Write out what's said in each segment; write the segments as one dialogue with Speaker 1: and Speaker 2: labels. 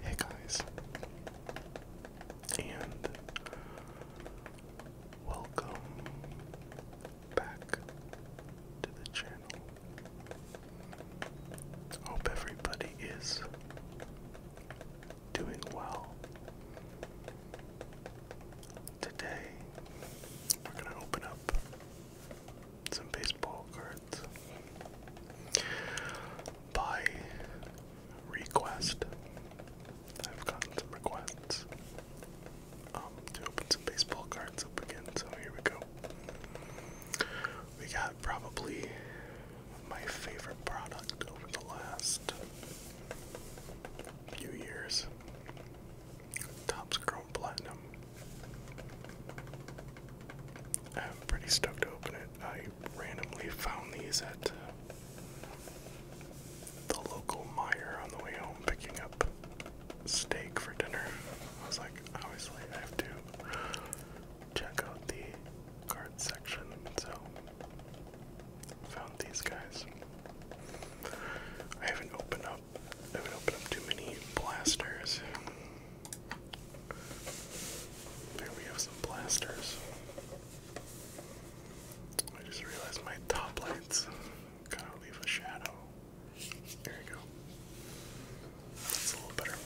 Speaker 1: Hey guys, and welcome back to the channel. Hope everybody is doing well. Today, we're going to open up some baseball cards by request. I've gotten some requests um, to open some baseball cards up again, so here we go. We got probably my favorite product over the last few years. Top's grown platinum. I'm pretty stoked to open it. I randomly found these at uh, the local Meyer on the way home picking up steak for dinner. I was like, obviously I have to check out the card section, so Found these guys. I haven't opened up. I haven't opened up too many blasters. There we have some blasters. I just realized my top lights gotta leave a shadow. There you go. That's a little better.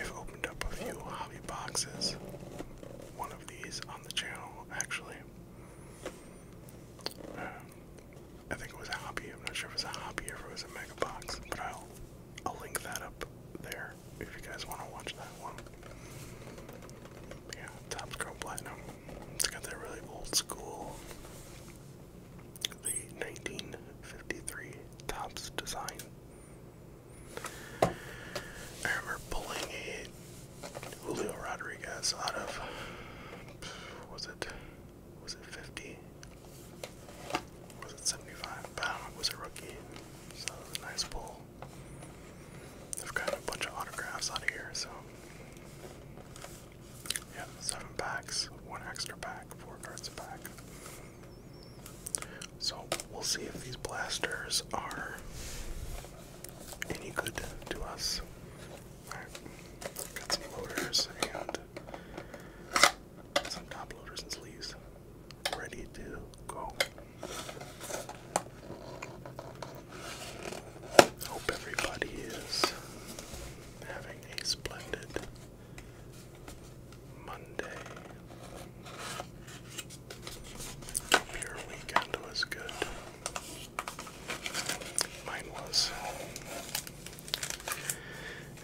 Speaker 1: I've opened up a few hobby boxes. One of these on the channel, actually. I think it was a hobby. I'm not sure if it was a hobby or if it was a mega box, but I'll I'll link that up there if you guys want to watch that one. Yeah, Top Scroll Platinum. It's got that really old school, the 1953 Tops design. I remember pulling a Julio Rodriguez out of was it was it 50? Was it 75? Bam, was a rookie. So it was a nice pull. I've got a bunch of autographs out of here, so yeah, seven packs, one extra pack, four cards a pack. So we'll see if these blasters are any good to us. got some loaders and some top loaders and sleeves ready to go. Hope everybody is having a splendid Monday. Your weekend was good. Mine was.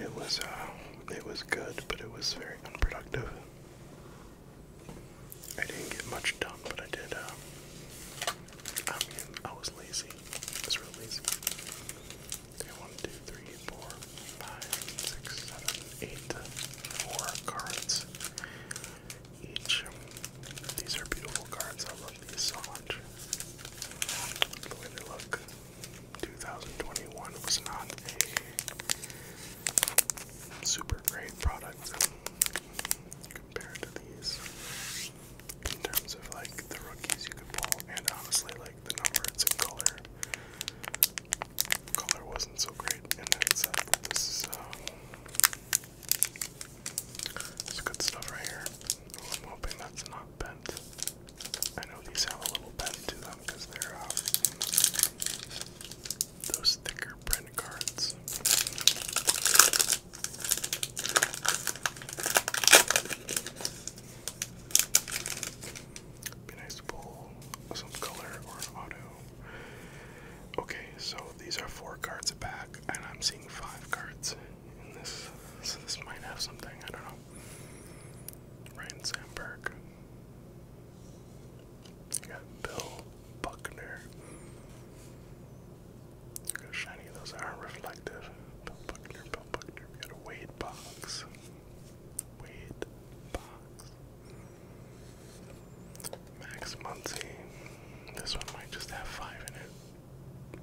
Speaker 1: It was uh, it was good, but it was very unproductive. I didn't get much done, but I did. Uh, I mean, I was lazy. I was real lazy. Okay, one, two, three, four, five, six, seven, eight, four cards each. These are beautiful cards. I love these so much. The way they look. 2021 was not a super great product compared to these in terms of like the rookies you could pull and honestly like the numbers and color. Color wasn't so great in that set, this uh, it's good stuff right here. I'm hoping that's not bent. I know these have a little bend to them because they're uh, those thicker print cards. Be nice to pull some color or auto. Okay, so these are four cards a pack, and I'm seeing five cards in this. So this might have something, I don't know. Ryan Sandberg. You got Bill Buckner. Look how shiny those are reflective. Bill Buckner, Bill Buckner. We got Wade box. Wade box. Max Muncy. This one might just have five in it.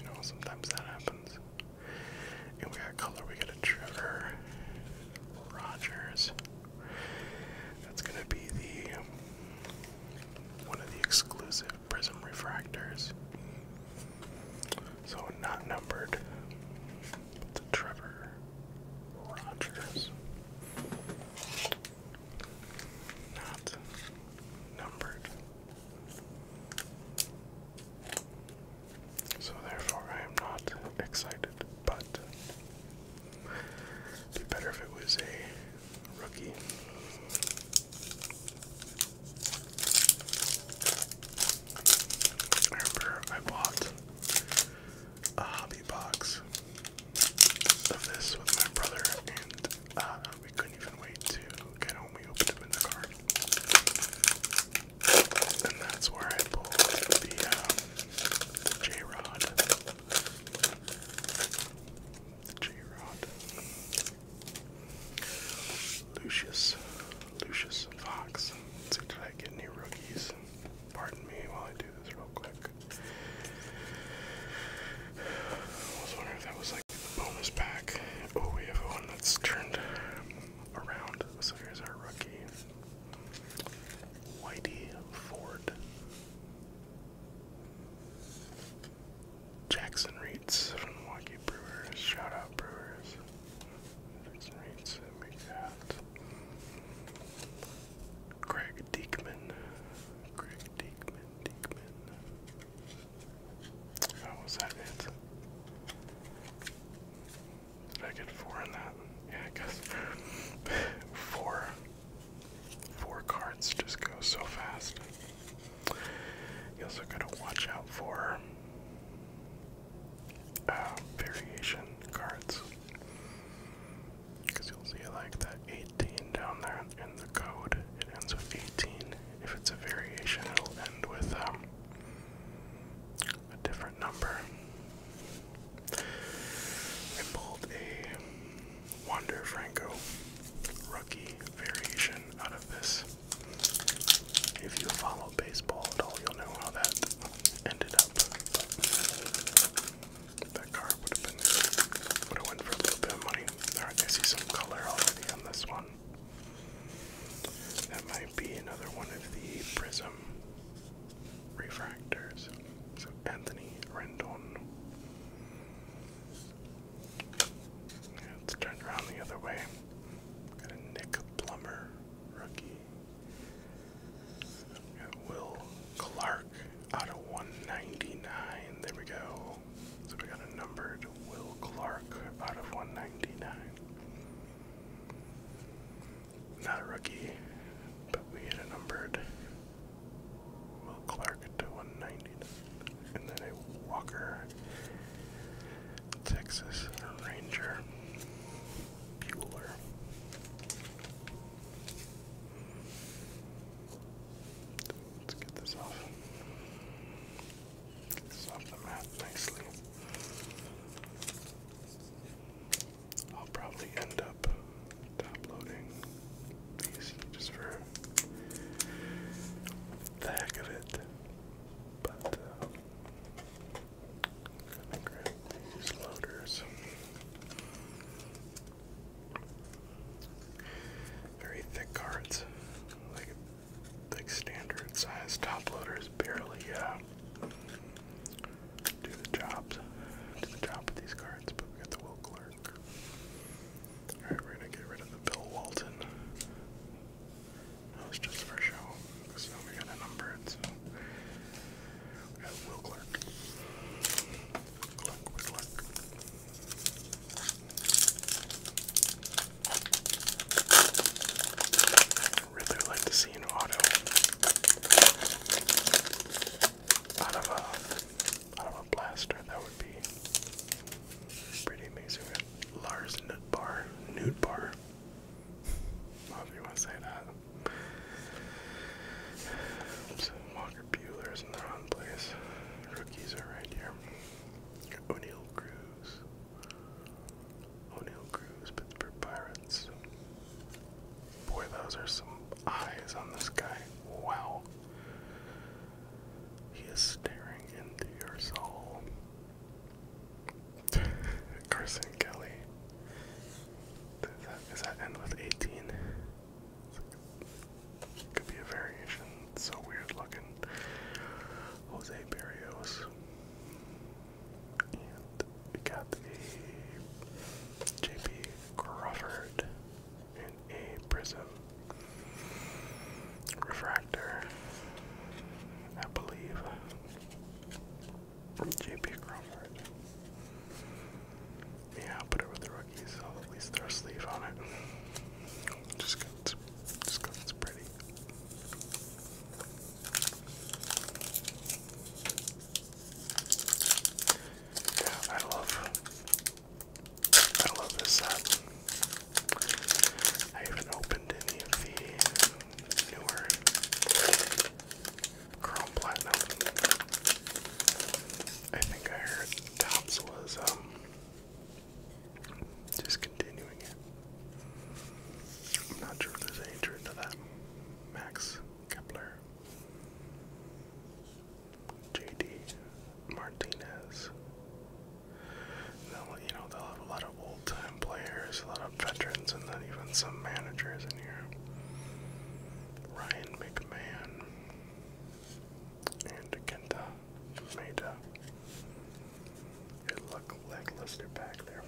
Speaker 1: You know, sometimes that happens. And we got color, we got a Trevor Rogers. That's gonna be the one of the exclusive prism refractors. So not numbered. But the Trevor Rogers not numbered. So, therefore, I am not excited, but it'd be better if it was a rookie. remember I bought a hobby box of this with my brother, and uh, we couldn't even wait to get home. We opened them in the car, and that's where I pulled the, um, J Rod. The J Rod. Lucius. Lucius Fox. Let's I get any rookies? Pardon me while I do this real quick. I was wondering if that was like the bonus Oh, we have one that's turned around. So here's our rookie. Whitey Ford. Jackson Reitz from Milwaukee Brewers. Shout Brewers. Jackson Reitz, make that. Greg Diekman. Greg Diekman, Diekman. How was that it? Did I get four in that? Yeah, I guess four. Four cards just go so fast. You also gotta watch out for uh, variation cards because you'll see like that 18 down there in the code. It ends with 18. If it's a variation, it'll end with um, a different number. I pulled a Wander Franco rookie variation out of this. If you follow baseball at all, you'll know how that ended up. That car would have been would have went for a little bit of money. Alright, I see some color already on this one. That might be another one of the prism refractors. So Anthony Rendon. let's turn around the other way. Got a Nick Plummer rookie. Got Will Clark out of 199. There we go. So we got a numbered Will Clark out of 199. Not a rookie, but we hit a numbered Will Clark to 199. And then a Walker Texas Ranger Bueller. Let's get this off. Get this off the map nicely. I'll probably end up downloading these just for the heck of it. But uh, I'm gonna grab these loaders. Very thick cards, like like standard size top loaders barely uh, do the jobs, do the job with these cards. But we got the Will Clerk. All right, we're gonna get rid of the Bill Walton. That was just for show. So we got a number, so we got I really like to see an auto out of a out of a blaster. That would be pretty amazing. Lars Nutbar, Nutbar. I do you want to say that. So Walker Bueller's in the wrong place. Rookies are right here. O'Neill Cruz. O'Neill Cruz, Pittsburgh Pirates. Boy, those are some eyes on this guy. Wow. He is staring into your soul. Carson Kelly. does that end with 18? could be a variation. so weird looking. Jose Barrios. we got a Crawford in a prism refractor, I believe. JP Crawford. Yeah, I'll put it with the rookies. I'll at least throw a sleeve on it. Just because it's pretty. Yeah, I love I love this set. I have opened any the newer Chrome Platinum. I think I heard Tops was um discontinuing it. I'm not sure if there's any truth to that. Max Kepler, JD Martinez. They'll, you know, they'll have a lot of old-time players, a lot of veterans, and then even some managers in here. Ryan McMahon, and Kenta made uh, it look lackluster back there.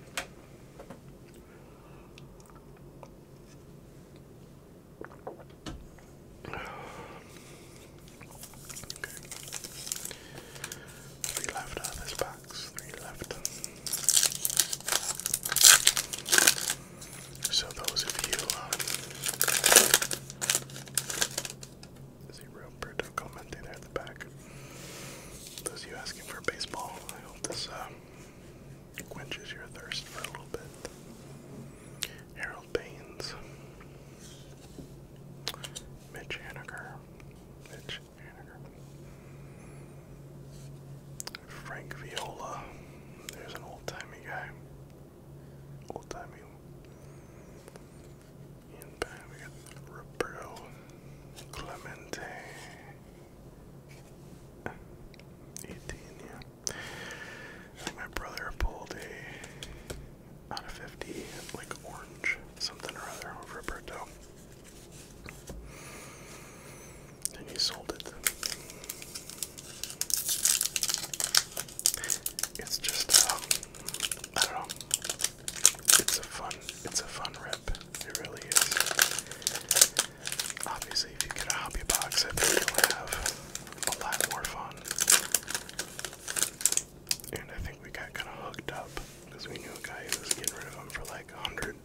Speaker 1: Okay. Three left on this box. Three left. So those of you um, see Roberto commenting there at the back. Those of you asking for baseball, I hope this uh, quenches your thirst for a little bit. Harold Baines, Mitch Haniger, Mitch Haniger. Frank Viola. There's an old timey guy. Old timey. And back Roberto Clemente. 18, yeah. I think my brother pulled a out of 50, like orange, something or other, Roberto and he sold it. It's just, um, I don't know. It's a fun, it's a fun rip. It really is. Obviously, if you get a hobby box, I think you'll have a lot more fun. And I think we got kind of hooked up because we knew a guy who was getting rid of them for like a hundred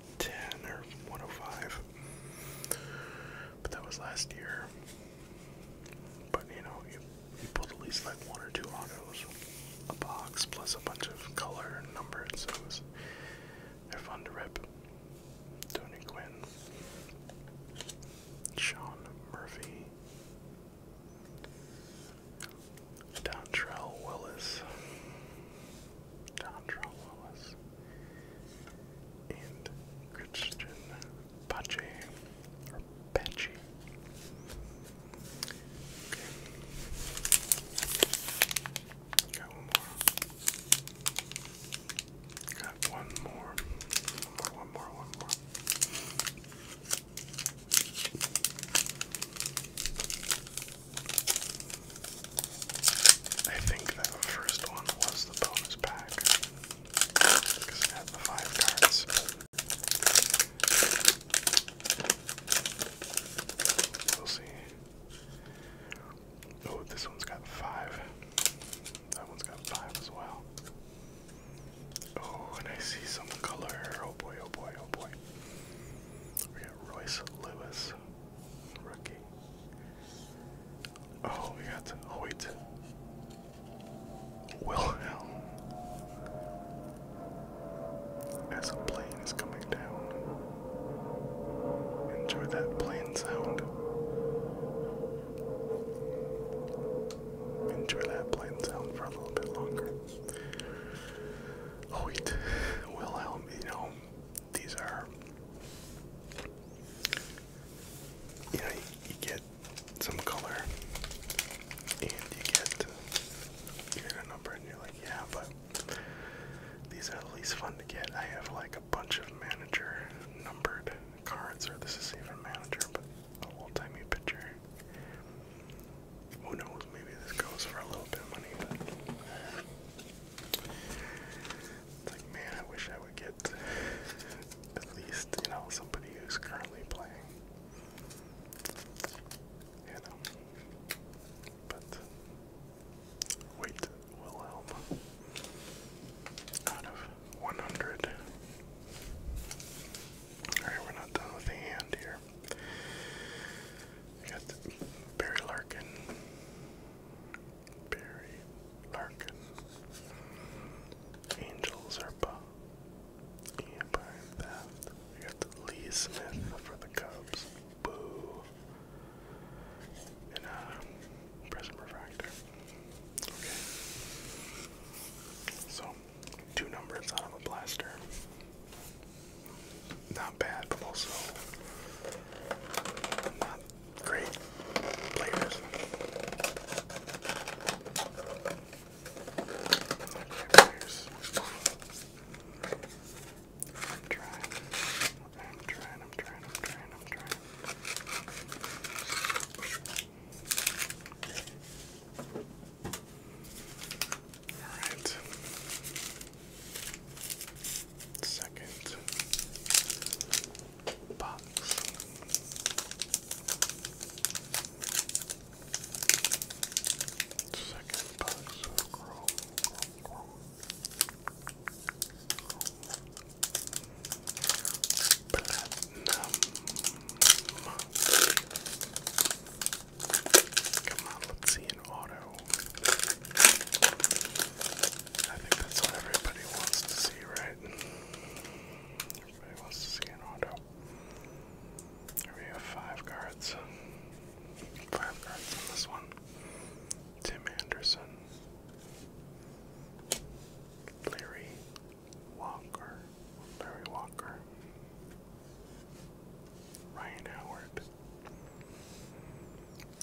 Speaker 1: 110 or 105. But that was last year. But you know, you, you pulled at least like one or two autos a box plus a bunch of color and numbered, so it was, they're fun to rip. Tony Quinn, Sean Murphy, Dontrell Willis, Dontrell Willis, and Christian Pache or Pache. Got one more. Got one more. One more, one more, one more. I think that first one was the bonus pack because it had the five cards. We'll see. Oh, this one's got five. That one's got five as well. Oh, and I see some color. Oh boy, oh boy, oh boy. We got Royce Lewis, Rookie. Oh, we got Hoyt. Oh, Wilhelm. As a plane is coming down. Enjoy that plane sound. Enjoy that plane sound for a little bit longer. Hoyt. Oh, Wilhelm, you know, these are you know you, get some color and you get you get a number and you're like yeah but these are the least fun to get. I have like a bunch of manager numbered cards or this is even manager but a old timey picture. Who knows, maybe this goes for a little bit of money, it's like, man, I wish I would get at least, you know, somebody who's currently playing. You know. But wait, Wilhelm. Out of 100. Alright, we're not done with the hand here. We got Barry Larkin, Barry Larkin. Angels are Bob. Empire Theft. We got Lee Smith for the Cubs. Boo. And uh Prism Refractor. Okay. So two numbers out of a blaster. Not bad, but also not great flavors. I'm trying. I'm trying, I'm trying, I'm trying, I'm trying. Alright. Second Second box Platinum. Come on, let's see an auto. I think that's what everybody wants to see, right? Everybody wants to see an auto. Here we have five cards. Five cards on this one. Tim Anderson. Larry Walker. Larry Walker. Ryan Howard.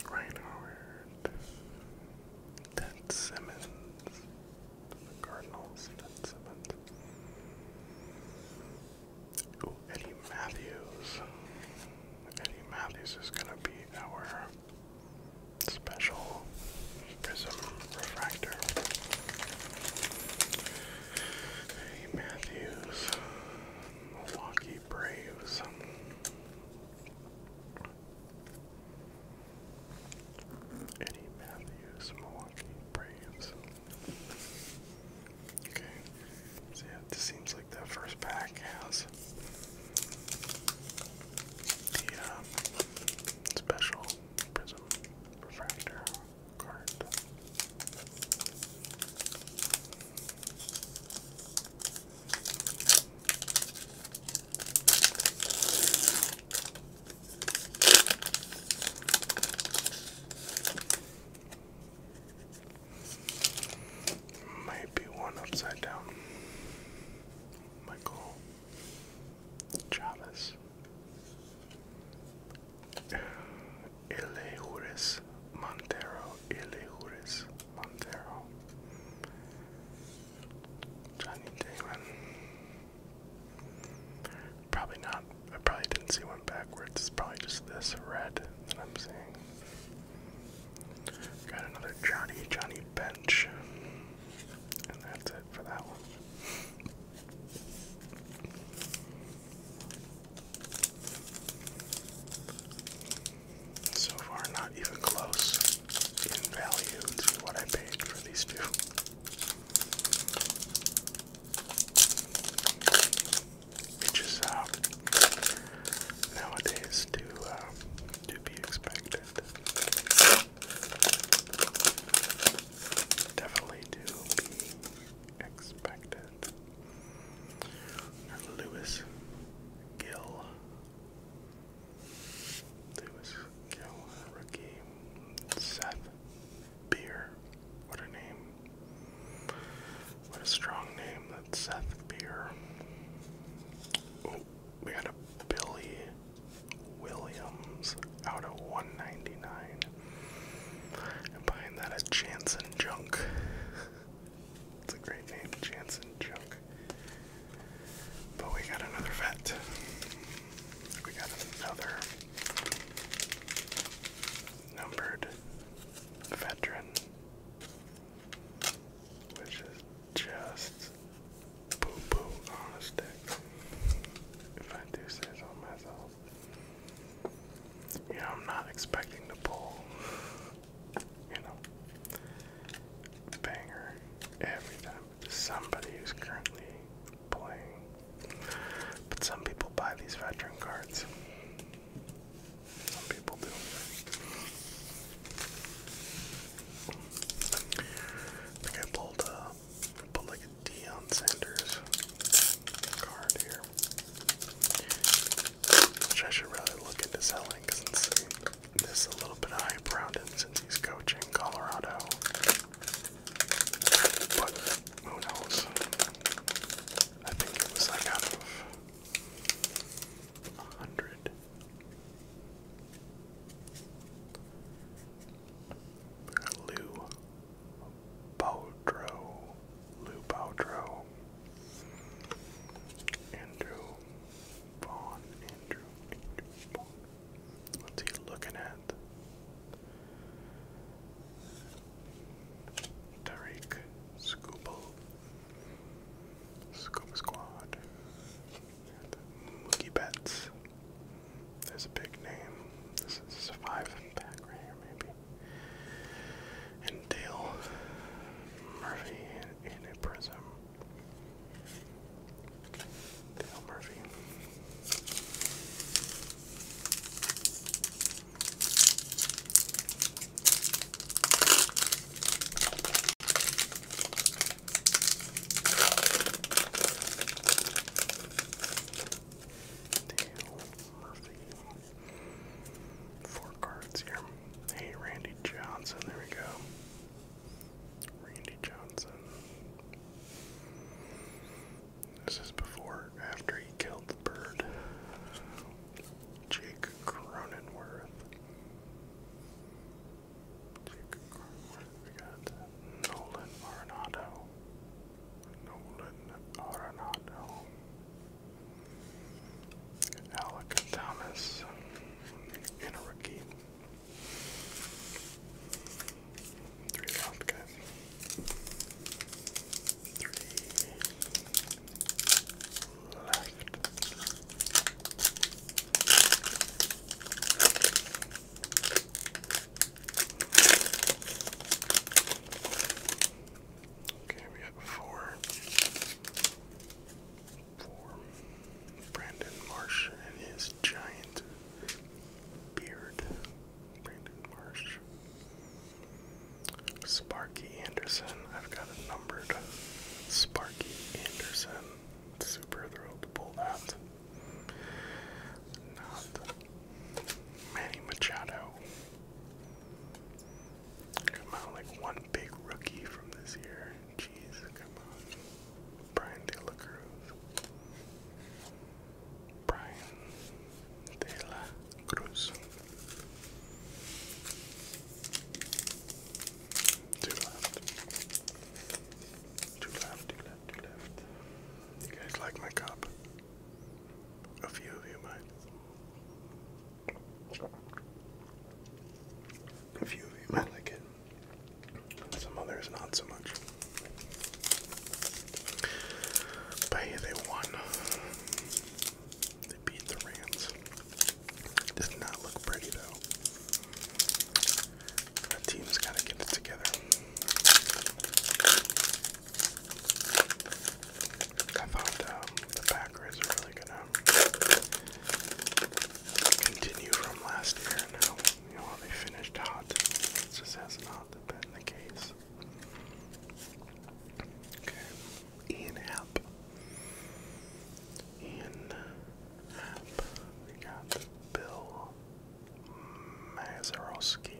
Speaker 1: Ryan Howard. Ted Simmons. The Cardinals, Ted Simmons. Ooh, Eddie Matthews. Eddie Matthews is gonna be our special prism refractor. Eddie Matthews. Milwaukee Braves. Eddie Matthews, Milwaukee Braves. Okay, so yeah, this seems like that first pack has the um, special prism refractor card. Maybe one upside down. Michael Chavez. Eleures Montero. Eleures Montero. Johnny Damon. Probably not. I probably didn't see one backwards. It's probably just this red that I'm seeing. Got another Johnny Johnny Bench. And that's it for that one. So far, not even close in value to what I paid for these two. Which is uh, nowadays to um, to be expected. Definitely to be expected. Lewis Gill Lewis Gill, rookie. Seth Beer. What a name. What a strong name. That's Seth Beer. Oh, we got a Billy Williams out of 199. And buying that, a Jansen Junk. It's a great name, Jansen Junk. But we got another vet. We got another numbered veteran, which is just poo poo on a stick. If I do say so myself. You I'm not expecting to pull you know, banger every time. Somebody who's currently playing. But some people buy these veteran cards. Some people do. I think I pulled, uh, pulled like Deion Sanders card here. Which I should really look into selling because it's this is a little bit of hype around him since he's coaching Colorado. But who knows? I think it was like out of a hundred. Lou Boudreau. Lou Boudreau. Andrew Vaughn, Andrew, Andrew, What's he looking at? Tariq, Scooble, Scoop Squad, Mookie Betts. There's a big name. This is a five pack right here, maybe. And Murphy in a prism. Dale Murphy. Four cards here. Hey, Randy Johnson. There we go. Randy Johnson. This is before, after he killed the bird. Jake Cronenworth. Jake Cronenworth. We got Nolan Arenado. Nolan Arenado. Alec Thomas and a rookie. Three left, guys. Okay, we got four for Brandon Marsh and his giant beard. Brandon Marsh. Sparky Anderson. I've got it numbered. Sparky Anderson. Super thrilled to pull that. Not Manny Machado. Come out like one big rookie from this year. Jeez, come on. Brian De Cruz. Brian De Cruz. Two left. Two left, two left, two left. You guys like my cup? A few of you might. A few of you might like it, some others not so much. But they won. They beat the Rams. Did not look pretty though. That team's got to get it together. I thought um, the Packers are really gonna continue from last year now. You they finished hot. It has not been the case. Okay. Ian App. Ian App. We got Bill Mazarowski.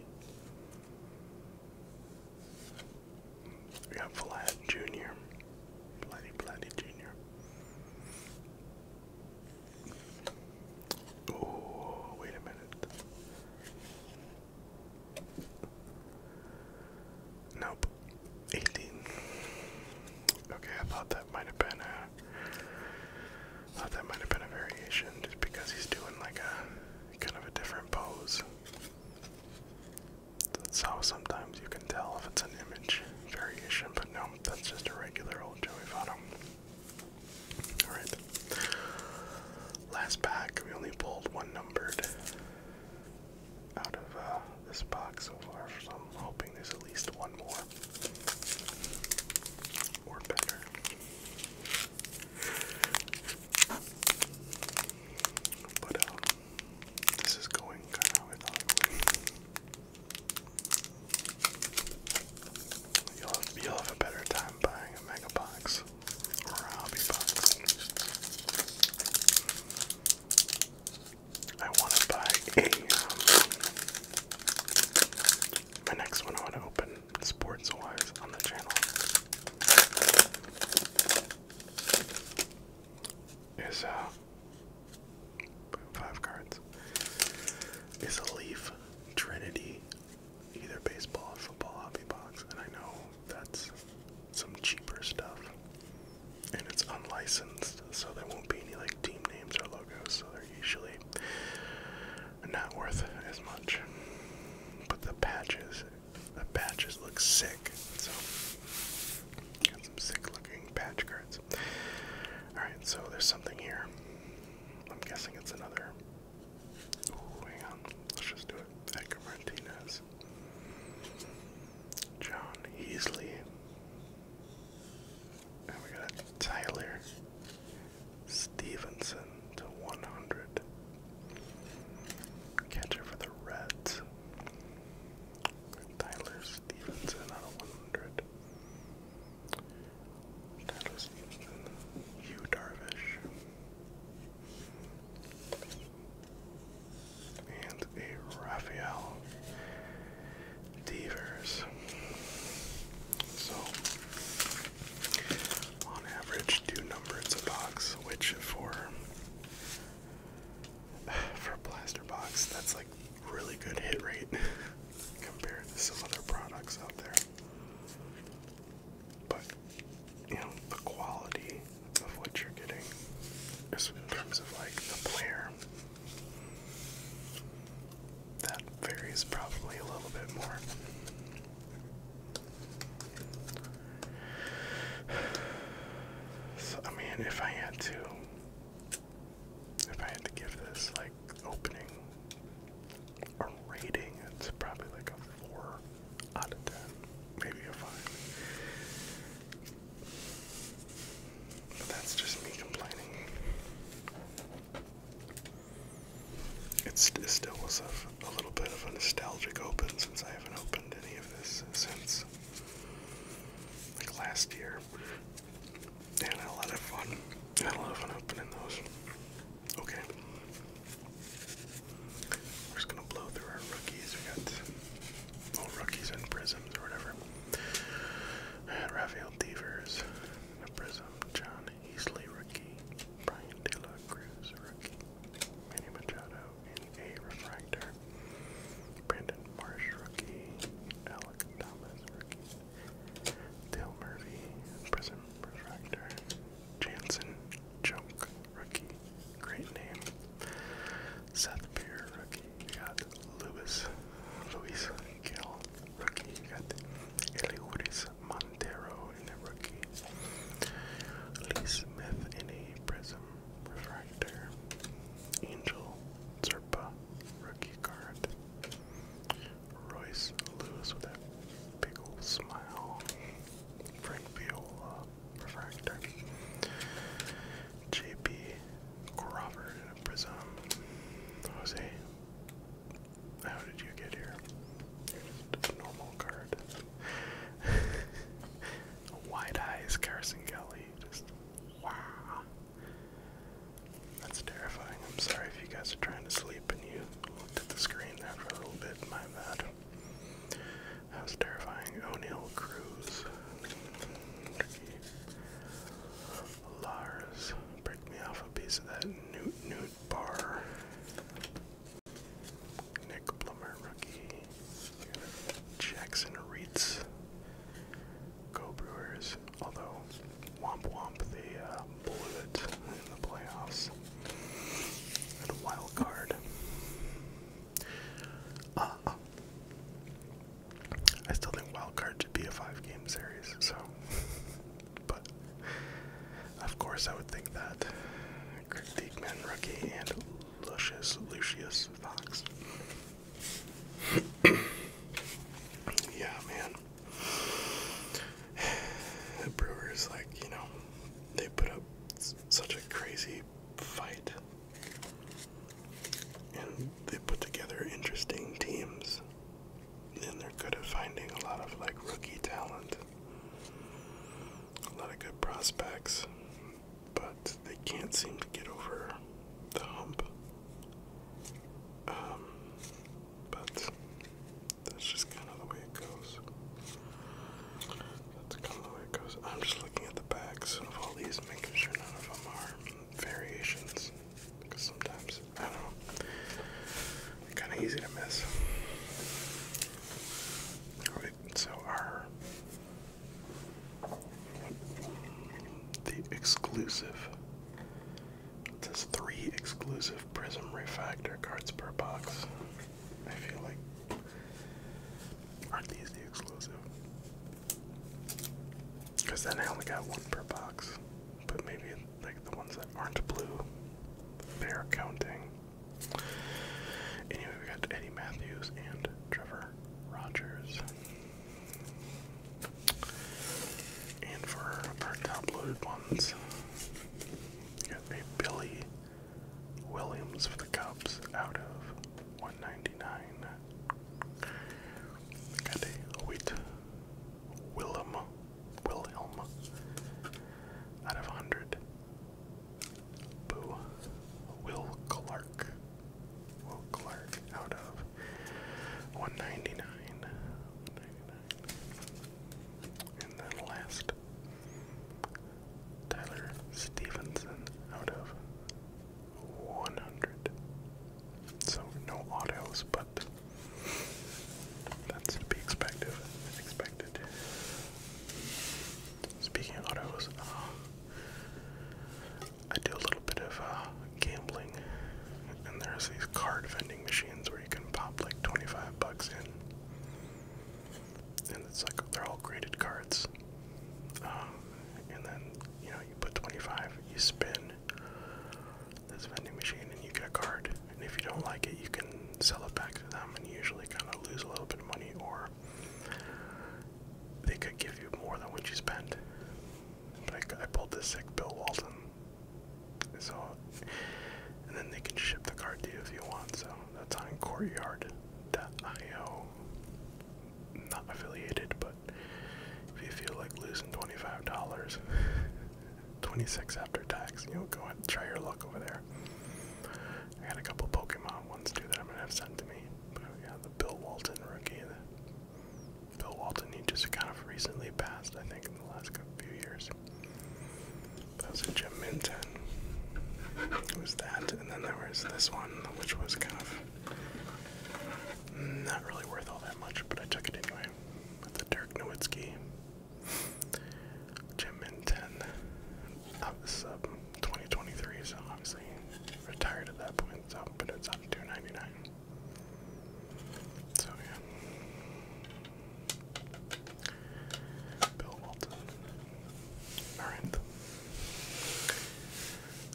Speaker 1: We got Vlad Jr. Bloody Bloody Jr. Oh, wait a minute. Nope. 18. Okay, I thought that might have been a thought that might have been a variation just because he's doing like a kind of a different pose. That's how sometimes you can tell if it's an image variation, but no, that's just a regular old Joey Votto. Alright. Last pack, we only pulled one numbered out of uh, this box so far, so I'm hoping there's at least one more. Or better. But um, this is going kind of how You'll have, you'll have a better time buying a mega box or a hobby box. I want to buy a. Um, my next one I want to open sports wise on the channel is uh, Five cards. Is a Leaf Trinity, either baseball or football hobby box, and I know that's some cheaper stuff. And it's unlicensed, so there won't be any like team names or logos, so they're usually not worth as much. But the patches, the patches look sick. So some sick looking patch cards. Alright, so there's something here. I'm guessing it's another. hang on. Let's just do it. Edgar Martinez. John Easley. And we got Tyler Stevenson to 100. Catcher for the Reds. Tyler Stevenson out of 100. Tyler Stevenson. Hugh Darvish. And a Raphael Devers. So, on average, two numbers a box, which for for a plaster box, that's like really good hit rate compared to some other products out there. But you know, the quality of what you're getting in terms of like the player. That varies probably a little bit more. So, I mean, if I had to if I had to give this like opening or rating, it's probably like a four out of ten, maybe a five. But that's just me complaining. It's, it still was a, a little bit of a nostalgic open since I haven't opened any of this since like last year. And I had fun. I had fun opening those. Okay. We're just gonna blow through our rookies. We got little rookies and prisms or whatever. And Raphael Devers, a prism, John Easley rookie, Brian De La Cruz rookie, Manny Machado in a refractor, Brandon Marsh, rookie. Alec Thomas, rookie. Dale Murphy, prison refractor. Jansen Junk, rookie. Great name. Seth Beer, rookie. You got Lewis, Luis Gill, rookie. You got Eliuris Montero in a rookie. Liz Smith in a prism refractor. Angel Zerpa rookie card. Royce Lewis with that big old smile. Frank Viola refractor. JP Crawford in a prism. Jose, how did you get here? just a normal card. Wide eyes, Carson Kelly. Just Wow. That's terrifying. I'm sorry if you guys are trying to sleep and you looked at the screen there for a little bit. My bad. That was terrifying. O'Neill Cruz. Lars. Break me off a piece of that newt bar. Nick Plummer rookie. Jackson Reitz. Go Brewers. Although, womp womp, the uh, bullet in the playoffs. At wild card. Uh, I still think wild card should be a five game series, so. but, of course, I would think that. Greg Diekman, rookie, and Lucius Lucius Fox. yeah, man. The Brewers, like, you know, they put up such a crazy fight. And they put together interesting teams. And they're good at finding a lot of, like, rookie talent, a lot of good prospects but they can't seem to get over the hump. Um, but that's just kind of the way it goes. That's kind of the way it goes. I'm just looking at the backs of all these, making sure none of them are variations. Because sometimes, I don't know, kind of easy to miss. Alright, so our the exclusive. It says three exclusive Prism Refactor cards per box. I feel like. Aren't these the exclusive? Because then I only got one per box. But maybe like the ones that aren't blue, they're counting. Anyway, we got Eddie Matthews and Trevor Rogers. And for our top loaded ones, you got a Billy Williams for the Cubs out of 199. Got a Wheat Willem Wilhelm out of 100. Boo Will Clark Will Clark out of 199. And then last, Tyler Stevenson out of 100. So no autos, but that's to be expected. Expected. Speaking of autos, uh, I do a little bit of uh, gambling, and there's these card vending machines where you can pop like 25 bucks in, and it's like they're all graded cards. Um, and then you know you put 25, you spin this vending machine, and you get a card. And if you don't like it, you can sell it back to them, and you usually kind of lose a little bit of money, or they could give you more than what you spent. Like I pulled this sick Bill Walton. So and then they can ship the card to you if you want, so that's on courtyard.io. Not affiliated, but if you feel like losing twenty-five dollars, twenty-six after tax, you know, go ahead and try your luck over there. I got a couple Pokemon ones too that I'm gonna have sent to me. But yeah, the Bill Walton rookie, Bill Walton, he just kind of recently passed, I think, in the last few years. That was a Jim Minton. It was that, and then there was this one, which was kind of not really worth all that much, but I took it anyway. With the Dirk Nowitzki, Jim Minton, out the sub um, 2023, so obviously retired at that point, so, but it's two ninety nine. So yeah, Bill Walton. All right,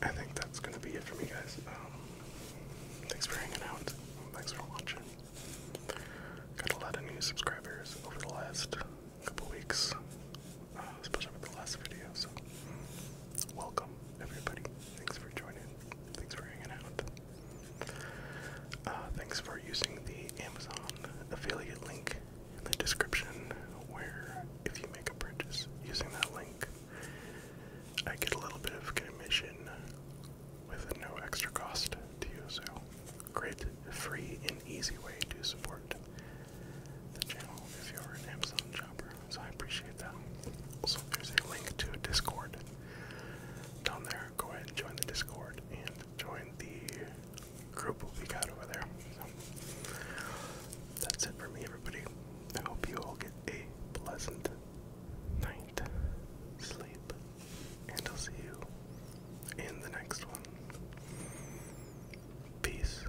Speaker 1: I think that's gonna be it for me, guys. Um, thanks for hanging out. Thanks for watching. Got a lot of new subscribers over the last couple weeks, uh, especially with the last video welcome everybody. Thanks for joining. Thanks for hanging out. Uh, thanks for using the Amazon affiliate link in the description, where if you make a purchase using that link, I get a little bit of commission with no extra cost to you. So, great, free, and easy way to support the channel if you're an Amazon shopper so I appreciate that. Also, there's a link to Discord down there. Go ahead and join the Discord and join the group we got over there. So, that's it for me, everybody. I hope you all get a pleasant night, sleep, and I'll see you in the next one. Peace.